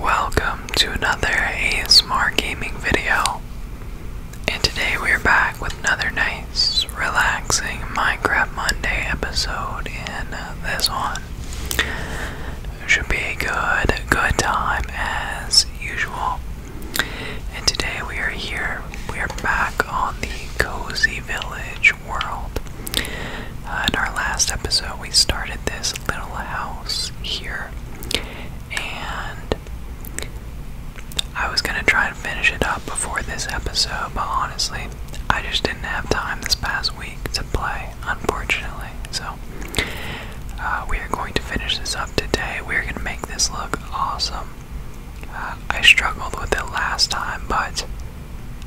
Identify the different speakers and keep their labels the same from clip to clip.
Speaker 1: Welcome to another ASMR gaming video. And today we're back with another nice, relaxing Minecraft Monday episode in this one. Should be a good, good time as usual. And today we are here, we are back on the Cozy Village world. Uh, in our last episode, we started this little house here, and I was gonna try and finish it up before this episode, but honestly, I just didn't have time this past week to play, unfortunately. So, uh, we are going to finish this up today. We are gonna make this look awesome. Uh, I struggled with it last time, but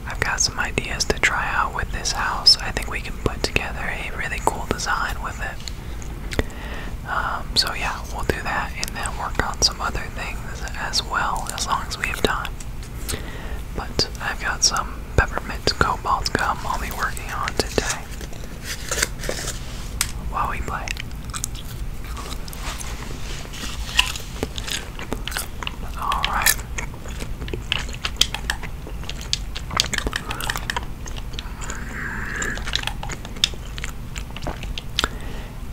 Speaker 1: I've got some ideas to try out with this house. I think we can put together a really cool design with it. Um, so, yeah, we'll do that and then work on some other things as well as long as we have time. But I've got some peppermint cobalt gum I'll be working on today while we play. Alright,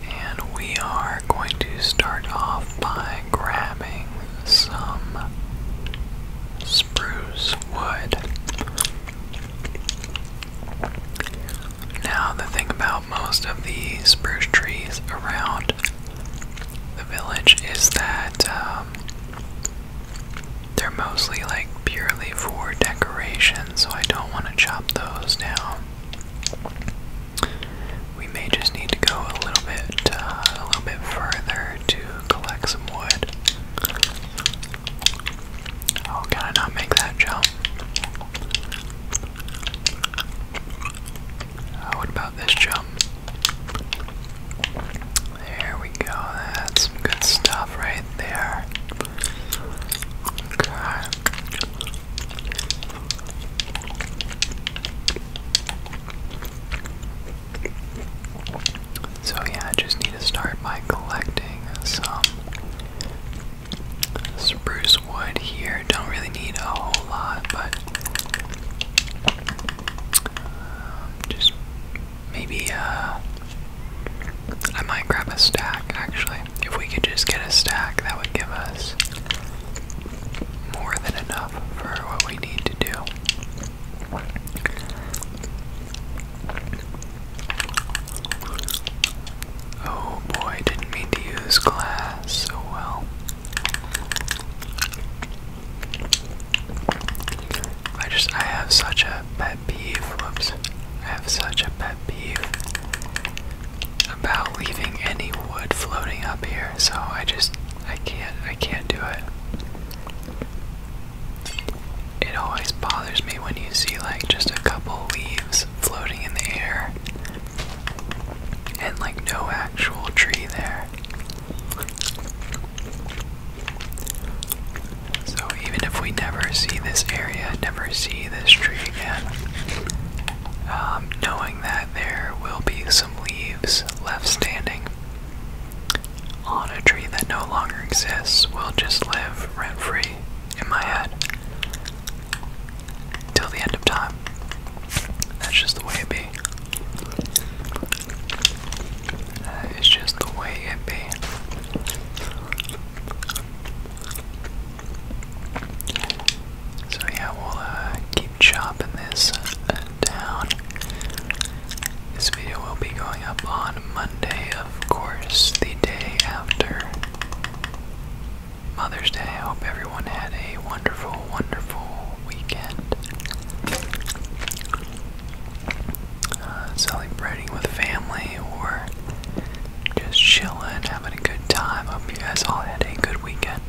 Speaker 1: and we are going to start off by grabbing some spruce wood. Now, the thing about most of these spruce trees around the village is that. Uh, um, they're mostly like purely for decoration, so I don't want to chop those down. We may just need to go a little bit, uh, a little bit further to collect some wood. Oh, can I not make that jump? Uh, what about this jump? There we go. That's good stuff right there. So yeah, I just need to start by collecting some spruce wood here. Don't really need a whole lot, but um, just maybe uh, I might grab a stack actually. If we could just get a stack, that would give us more than enough for what we need to do. Oh boy, didn't mean to use glass so well. I just, I have such a pet peeve, whoops, I have such a pet peeve about leaving any wood floating up here, so I just, I can't, I can't do it. It always bothers me when you see like just a couple leaves floating in the air and like no actual tree there. So even if we never see this area, never see this tree again, um, knowing that there will be some leaves left standing on a tree that no longer exists will just live rent free in my head till the end of time. That's just the way it be. Uh, it's just the way it be. So yeah, we'll uh, keep chopping this uh, down. This video will be going up on Monday, of course, the day after Mother's Day. hope everyone had a wonderful, wonderful, weekend. Uh, celebrating with family or just chilling, having a good time. Hope you guys all had a good weekend.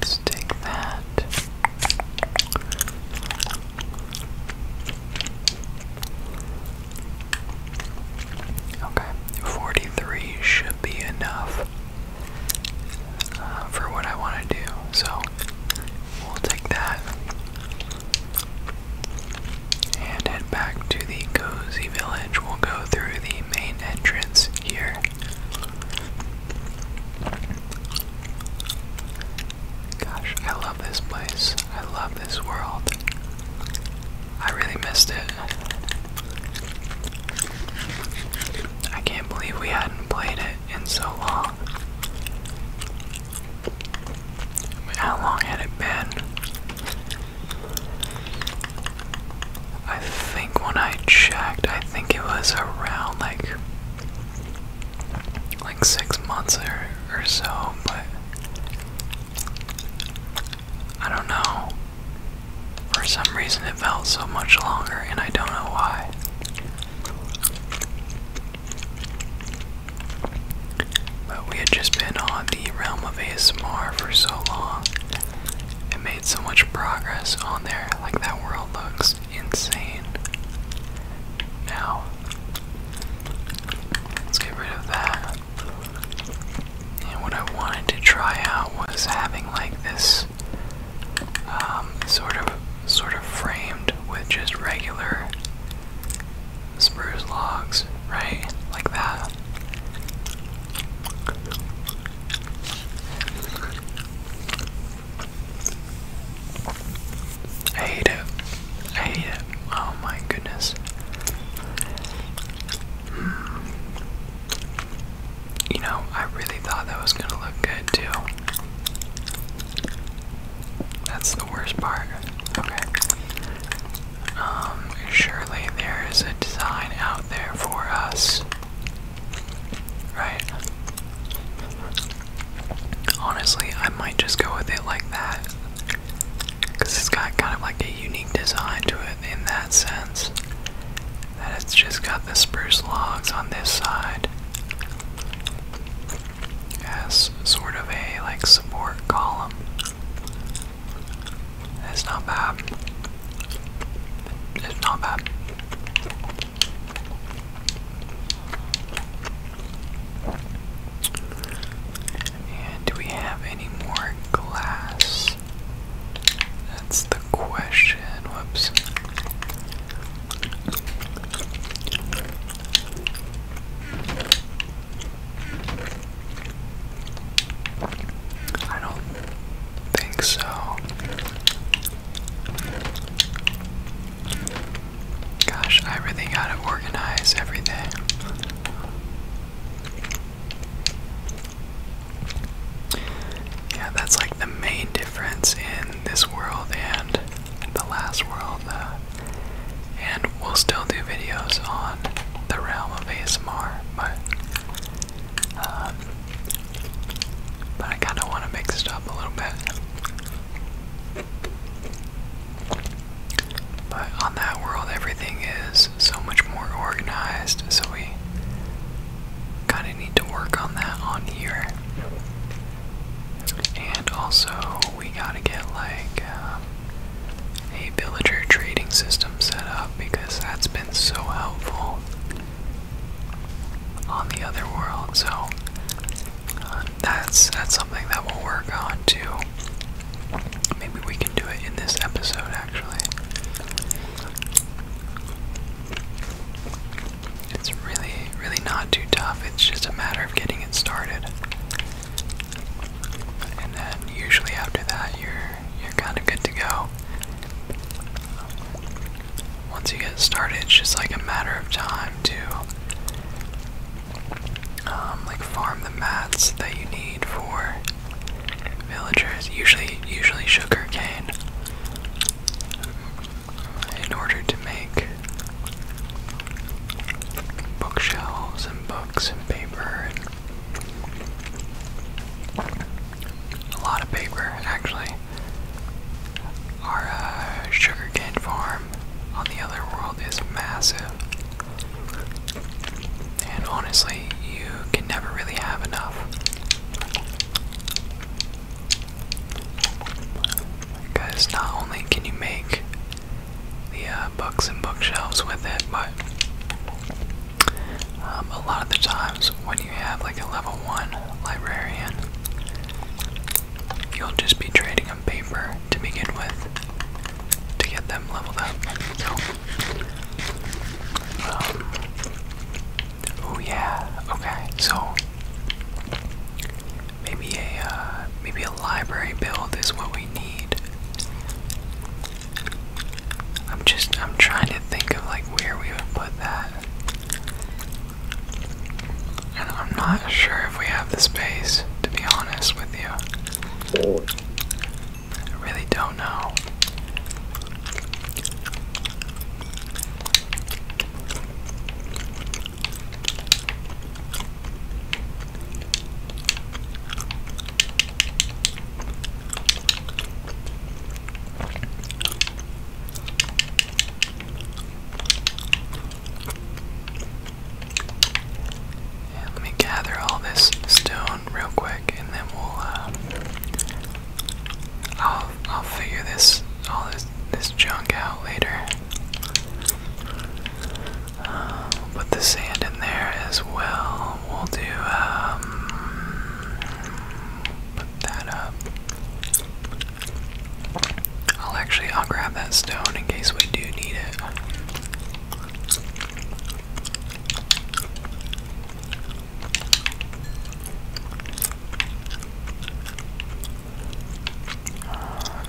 Speaker 1: Let's take that. Okay, 43 should be enough uh, for what I want to do, so we'll take that and head back to the cozy village. We'll go through the main entrance here. Gosh, I love this place. I love this world. I really missed it. I can't believe we hadn't played it in so long. How long had it been? I think when I checked, I think it was around like like six months or, or so, but I don't know. For some reason, it felt so much longer, and I don't know why. But we had just been on the realm of ASMR for so long and made so much progress on there. Like, that world looks insane. Now, let's get rid of that. And what I wanted to try out was having like this um, sort of sort of framed with just regular spruce logs, right? Like that. hate it. hate it. Oh my goodness. You know, I really thought that was gonna look good too. That's the worst part. Okay. Um, surely there is a design out there for us. Right? Honestly, I might just go with it like that. Because it's got kind of like a unique design to it in that sense. That it's just got the spruce logs on this side as sort of a like support column. It's not bad. It's not bad. And do we have any more glass? That's the question. Whoops. I don't think so. Gosh, I really gotta organize everything. Yeah, that's like the main difference in this world and the last world. Uh, and we'll still do videos on the realm of ASMR, but um, but I kind of want to mix it up a little bit. But on that world, everything is so much more organized, so we kind of need to work on that on here. And also, we gotta get like uh, a villager trading system set up because that's been so helpful on the other world. So uh, that's that's something that we'll work on too. Maybe we can do it in this episode, actually. It's really, really not too tough. It's just a matter of getting it started. And then usually after that, you're you're kind of good to go. Once you get started, it's just like a matter of time to um, like farm the mats that you need for villagers, usually usually sugar cane, in order to make bookshelves and books and paper and a lot of paper actually. Our uh, sugarcane farm on the other world is massive. And honestly, you can never really have enough. Because not only can you make the uh, books and bookshelves with it, but um, a lot of the times when you have like a level 1 librarian, you'll just be trading on paper to begin with to get them leveled up. Um, oh yeah, okay. So maybe a uh, maybe a library build is what we need. I'm just I'm trying to think of like where we would put that. And I'm not sure if we have the space, to be honest with you. I really don't know let me gather all this stone real quick, and then we'll. Uh, I'll I'll figure this all this this junk out later. Uh, put the sand in there as well. We'll do. Um, put that up. I'll actually I'll grab that stone in case we do need it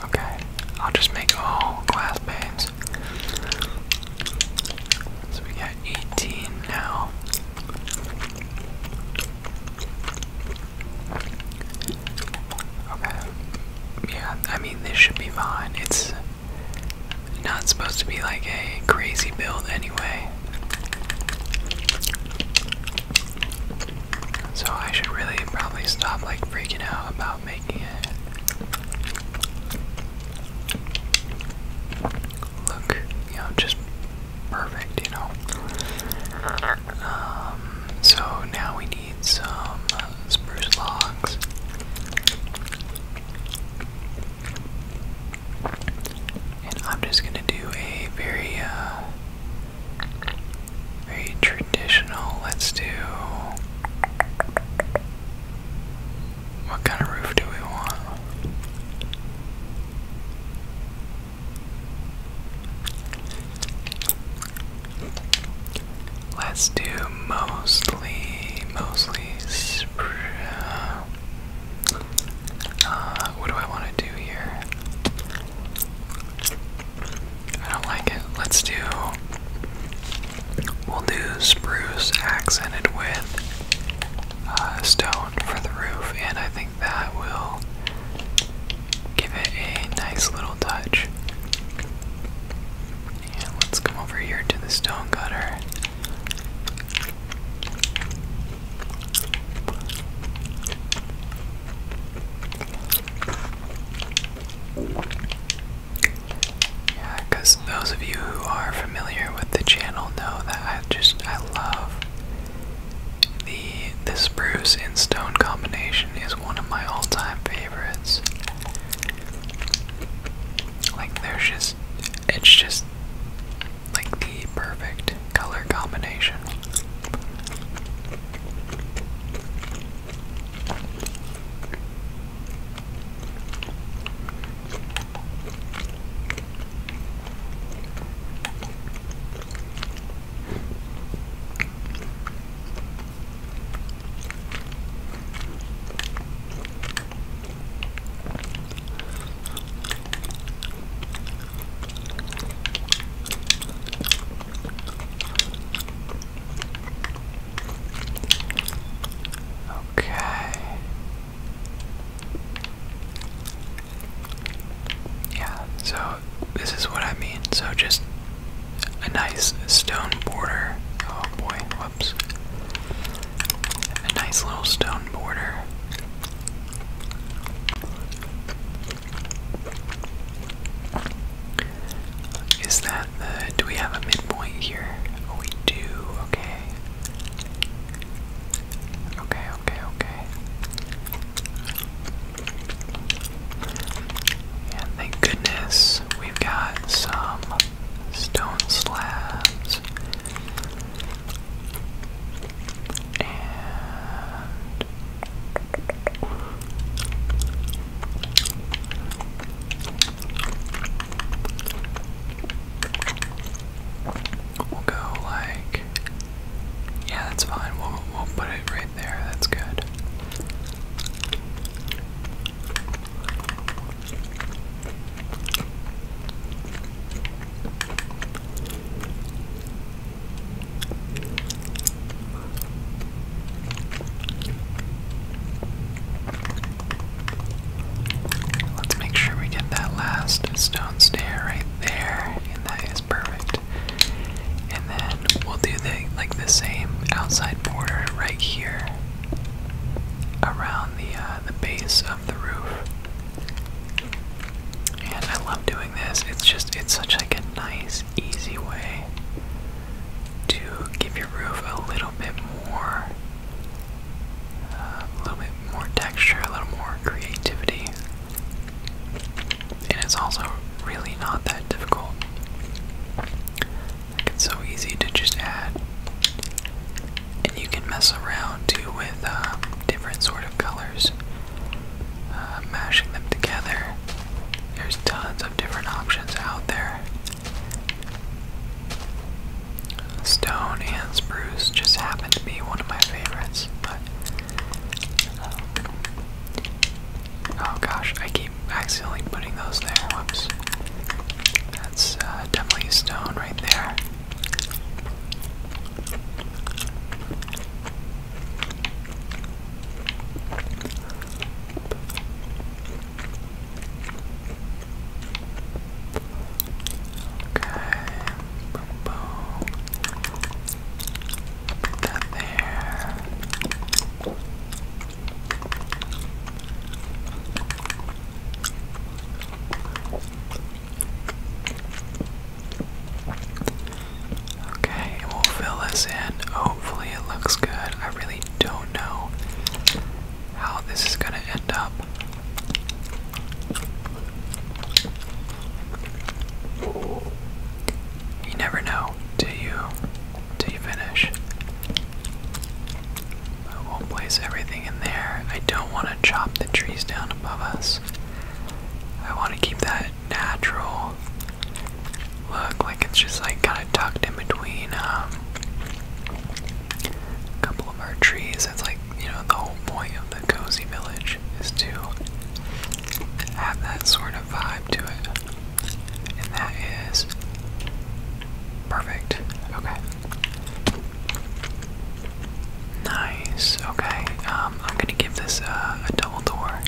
Speaker 1: okay, I'll just make all glass panes. So we got 18 now. Okay. Yeah, I mean, this should be fine. It's not supposed to be like a crazy build anyway. So I should really probably stop like freaking out about making it look, you know, just perfect, you know. Um, so now we need some spruce logs. And I'm just gonna do a very, uh, very traditional. Let's do. What kind of roof do we want? Let's do mostly, mostly uh, what do I want to do here? I don't like it. Let's do. We'll do spruce accented with uh, stone for the roof, and I think that will give it a nice little touch. let's come over here to the stone cutter. Yeah, because those of you who are familiar with the channel know that I just I love the the spruce and stone combination is one of my all-time favorites. Like there's just it's just like the perfect color combination. Okay. Yeah, so this is what I mean. So just a nice stone border. Oh boy, a nice little stone border. Is that the. Do we have a midpoint here? Oh, we do. Okay. Okay, okay, okay. And thank goodness we've got some stone slabs, and we'll go like, yeah, that's fine. We'll we'll put it right there. That's good. Let's make sure we get that last stone stair right there, and that is perfect. And then we'll do the like the same outside border right here around the uh, uh, the base of the roof. And I love doing this. It's just, it's such like a nice, easy way to give your roof a little bit more, uh, a little bit more texture, a little more creativity. And it's also really not that difficult it's so easy to just add, and you can mess around too with uh, different sort of colors, uh, mashing them together. There's tons of different options out there. Stone and spruce just happen to be one of my favorites, but um, oh gosh, I keep accidentally putting those there. Whoops. That's uh, definitely a stone right there. boom, boom. Put that there. Okay, we'll fill this in. Hopefully, it looks good. I really don't know how this is going to end up. You never know till you till you finish. But we'll place everything in there. I don't want to chop the trees down above us. I want to keep that natural look, like it's just like kind of tucked in between um, a couple of our trees. That's like, you know, the whole point of the cozy village is to have that sort of vibe to it. And that is perfect. Okay. Nice. Okay. Um, I'm gonna give this a double door.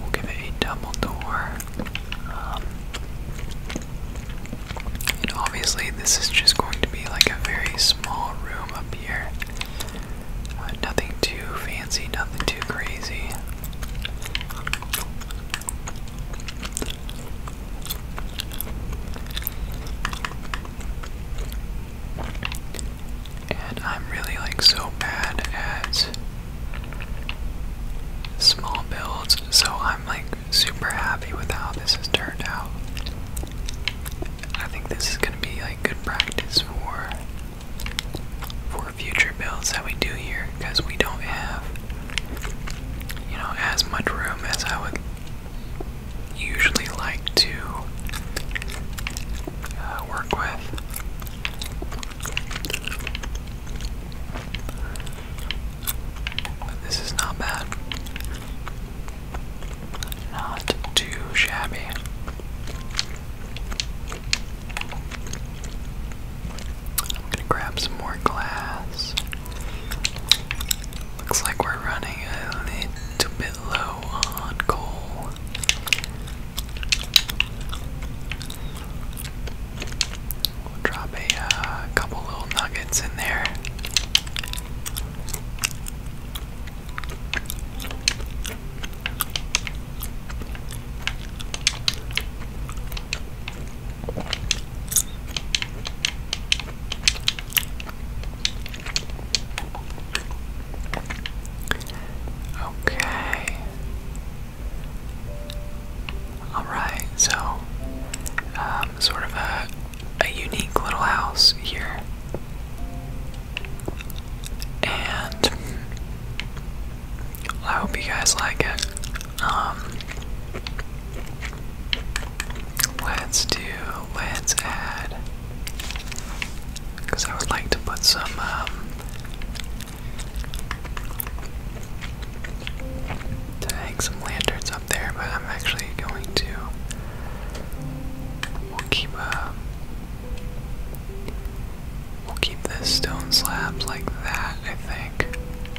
Speaker 1: We'll give it a double door. Um, and obviously, this is just going to be like a very small room up here. Uh, nothing too fancy, nothing too crazy. And I'm really like so bad at small builds, so I'm like super happy with how this has turned out. I think this is gonna be like good practice for for future builds that we do here because we don't have you know, as much room as I would usually like to uh, work with. But this is not bad. Not too shabby. I'm gonna grab some more glass. Looks like we're running a little bit low on coal. drop a uh, couple little nuggets in there. Okay. All right. So, um, sort of a a unique little house here, and I hope you guys like it. Um, let's do, let's add, because I would like to put some, um, to hang some lanterns up there, but I'm actually going to, we'll keep, uh, we'll keep the stone slabs like that, I think.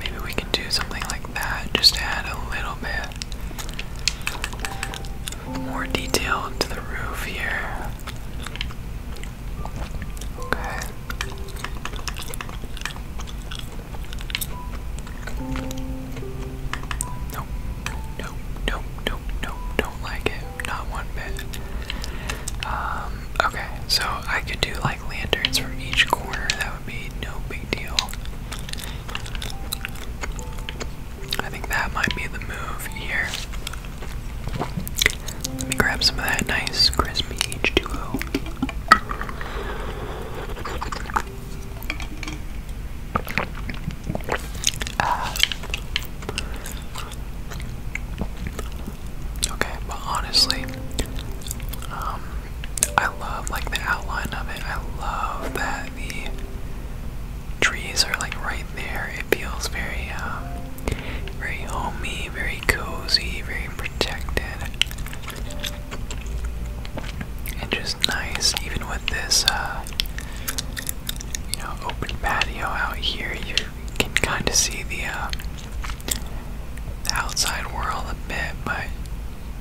Speaker 1: Maybe we can do something like that, just add a little bit more detail to the roof here. Okay. Nope, nope, nope, nope, nope, nope like it, not one bit. Um, okay, so I could do like lanterns from each corner, that would be no big deal. I think that might be the move here. Let me grab some of that nice crispy H2O. Okay, but honestly, um, I love like the outline of it. I love that the trees are like right there. It feels very, um, very homey, very cozy, very protected. And just nice, even with this uh, you know, open patio out here, you can kind of see uh, the, outside world a bit, but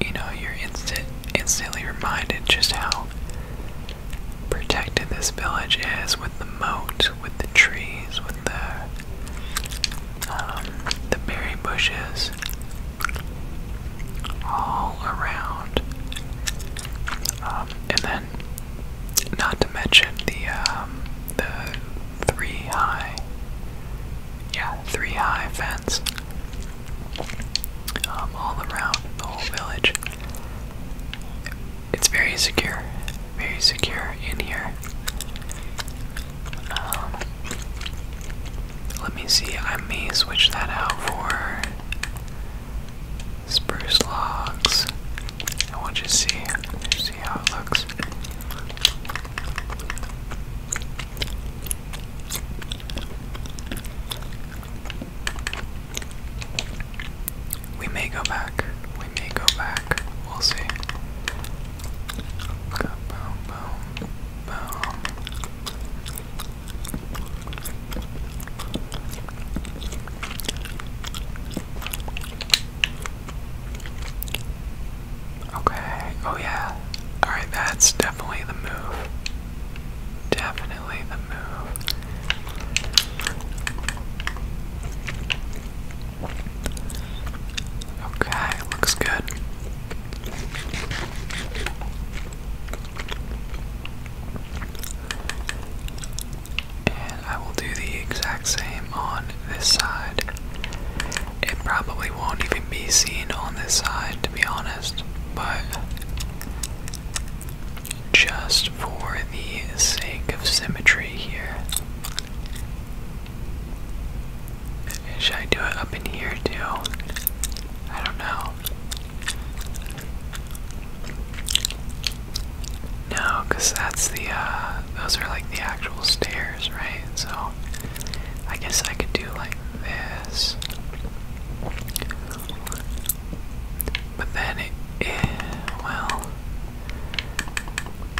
Speaker 1: you know, you're instant, instantly reminded just how protected this village is with the moat, with the trees, with the um, the berry bushes all around. Um, and then not to mention the um, the three high yeah three high fence um, all around the whole village it's very secure very secure in here um, let me see I may switch that out for spruce logs. I want you to see, see how it looks. We may go back. We may go back. We'll see. Boom, boom, boom. Okay, oh yeah. Alright, that's definitely the move. Definitely the move. Okay, looks good. And I will do the exact same on this side. It probably won't even be seen on this side, to be honest, but just for the sake of symmetry here. Should I do it up in here too? I don't know. No, because that's the, uh, those are like the actual stairs, right? So, I guess I could do like this. But then it, it eh, well,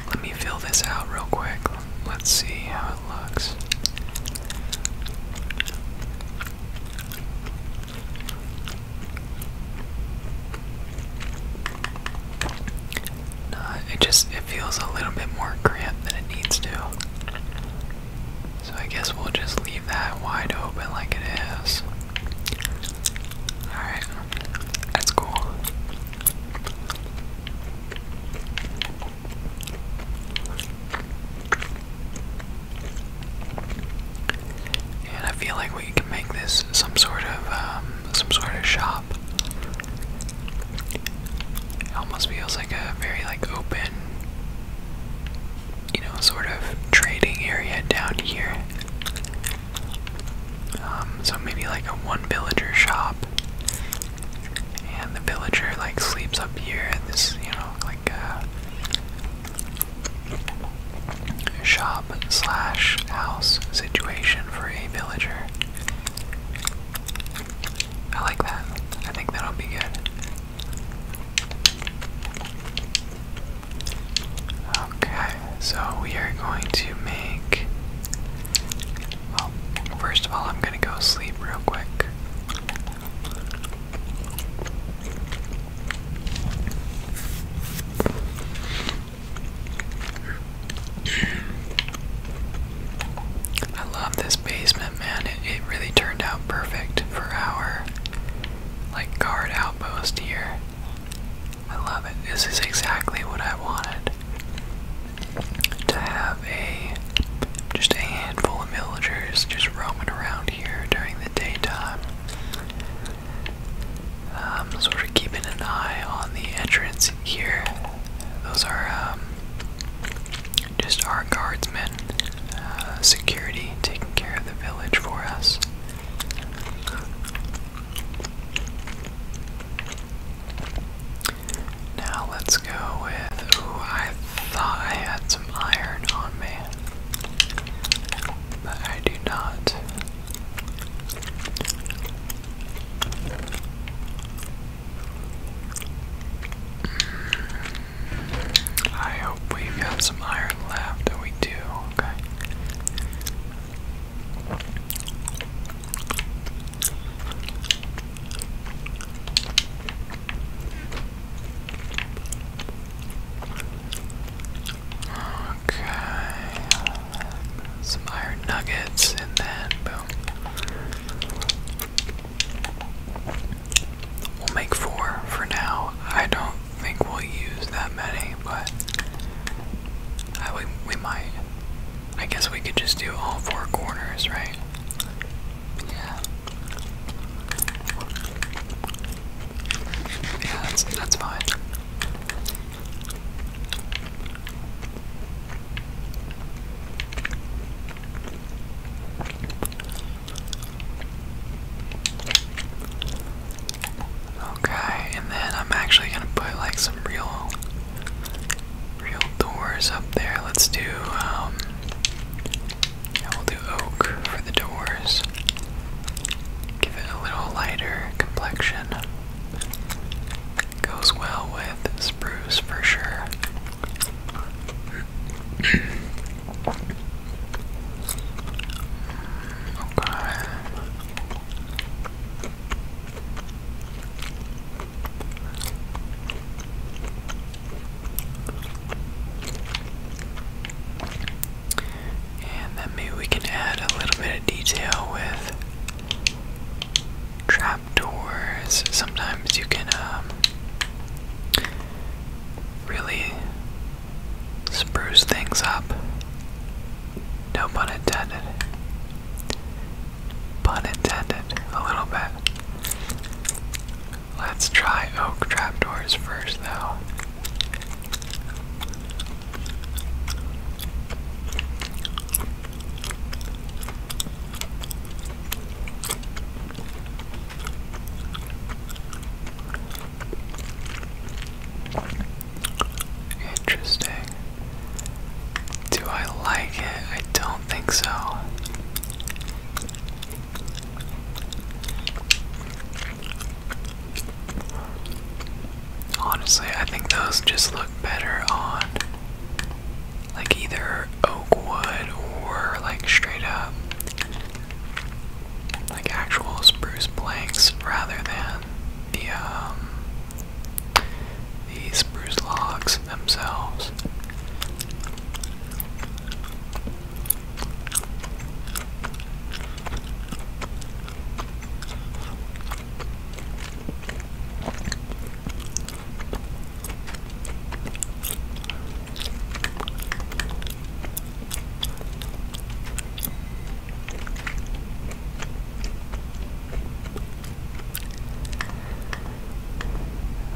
Speaker 1: let me fill this out real quick. Let's see how it looks it just it feels a little bit more cramped than it needs to. So I guess we'll just leave that wide open like it is. Alright, that's cool. And I feel like we can make this some sort of um, some sort of shop. almost feels like a very like open, you know, sort of trading area down here. Um, so maybe like a one villager shop, and the villager like sleeps up here. This you know like uh, shop slash house situation for a villager. I like that. I think that'll be good. Okay, so we are going to make. Well, first of all, I'm gonna go sleep real quick. I love this basement, man. It, really turned out perfect for our like guard outpost here. I love it. This is exactly what I wanted. To have a just a handful of villagers just roaming around here during the daytime. Um, so we're keeping an eye on the entrance here. Those are um, just our guardsmen, uh, security taking care of the village for us. Now let's go with. Ooh, I thought I had some iron on me. But I do not. Mm. I hope we've some iron left, we do, okay. Okay. Some iron nuggets and then boom. We'll make four for now. I don't think we'll use that many, but we, we might. I guess we could just do all four corners, right? Yeah. Yeah, that's that's fine. Okay, and then I'm actually gonna put like some real, real doors up there. Let's do, um, we'll do oak for the doors. Give it a little lighter complexion. Goes well with spruce for sure. okay. And then maybe we can add a little bit of detail with trapdoors. Sometimes you can um, really spruce things up. No pun intended. Pun intended, a little bit. Let's try oak trapdoors first, though. Interesting. Do I like it? I don't think so. Honestly, I think those just look better on like either oak wood or like straight up like actual spruce planks rather than the um the spruce logs themselves.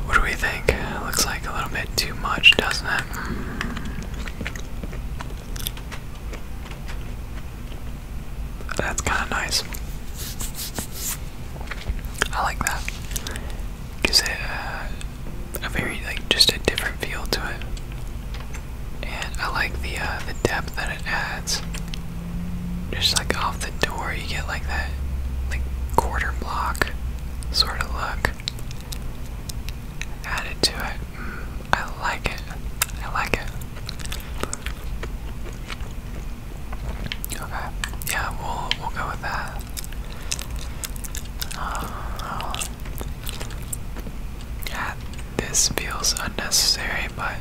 Speaker 1: What do we think? Looks like a little bit too much, doesn't it? That's kind of nice. I like that. Gives it uh, a very like just a different feel to it, and I like the uh, the depth that it adds. Just like off the door, you get like that like quarter block sort of look added to it. Mm, I like it. I like it. Okay. Yeah, we'll we'll go with that. Uh, yeah, this feels unnecessary, but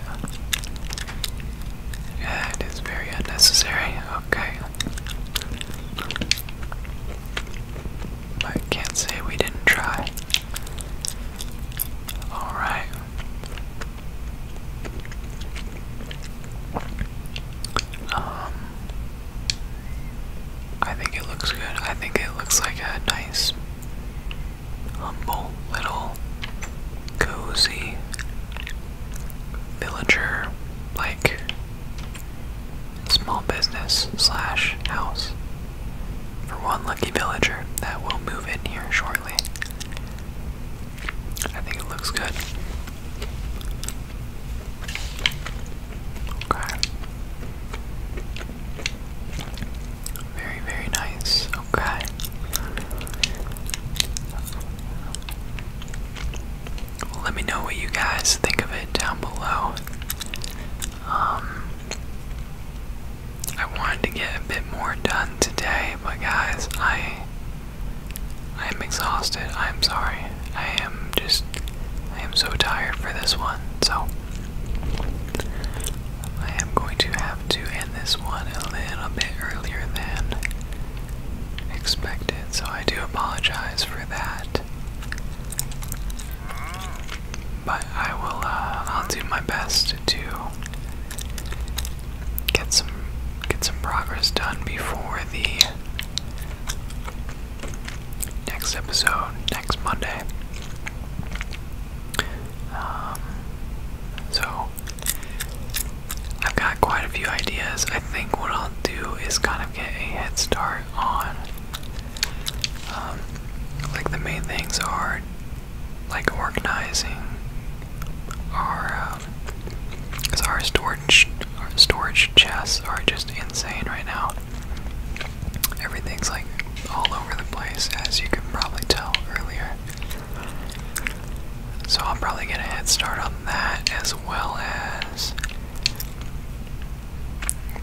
Speaker 1: yeah, it is very unnecessary. Okay. I can't say we didn't try. Alright. Um I think it looks good. I think it looks like a nice humble little cozy villager like small business slash house for one lucky villager that will move in here shortly. I think it looks good. Okay. Very, very nice. Okay. let me know what you guys think of it down below. Um, I wanted to get a bit more done today, but guys, I I am exhausted. I am sorry. I am just I am so tired for this one. So I am going to have to end this one a little bit earlier than expected. So I do apologize for that. But I will, uh, I'll do my best to get some, get some progress done before the next episode, next Monday. Um, so, I've got quite a few ideas. I think what I'll do is kind of get a head start on um, like the main things are like organizing our um, our storage our storage chests are just insane right now. Everything's like all over the place, as you can probably tell earlier. So I'll probably get a head start on that as well as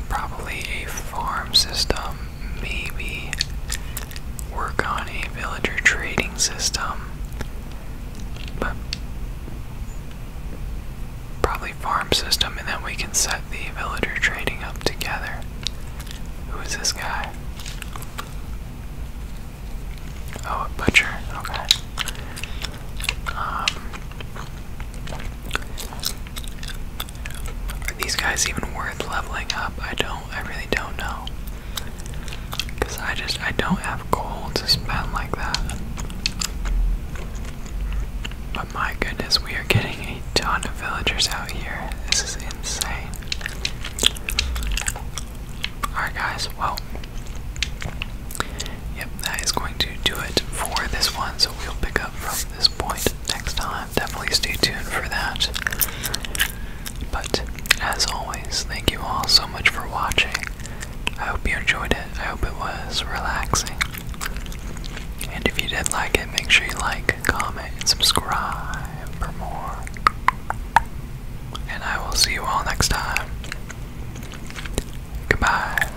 Speaker 1: Probably a farm system, maybe. Work on a villager trading system. But probably farm system, and then we can set the villager trading up together. Who is this guy? Oh, a butcher. Okay. Um, are these guys even worth leveling up? I don't, I really don't know. Because I just, I don't have gold to spend like that. But my goodness, we are getting a ton of villagers out here. This is insane. Alright, guys, well, yep, that is going to do it for this one. So we'll pick up from this point next time definitely stay tuned for that. But as always, thank you all so much for watching. I hope you enjoyed it. I hope it was relaxing. And if you did like it, make sure you like, comment, and subscribe for more. And I will see you all next time. Goodbye.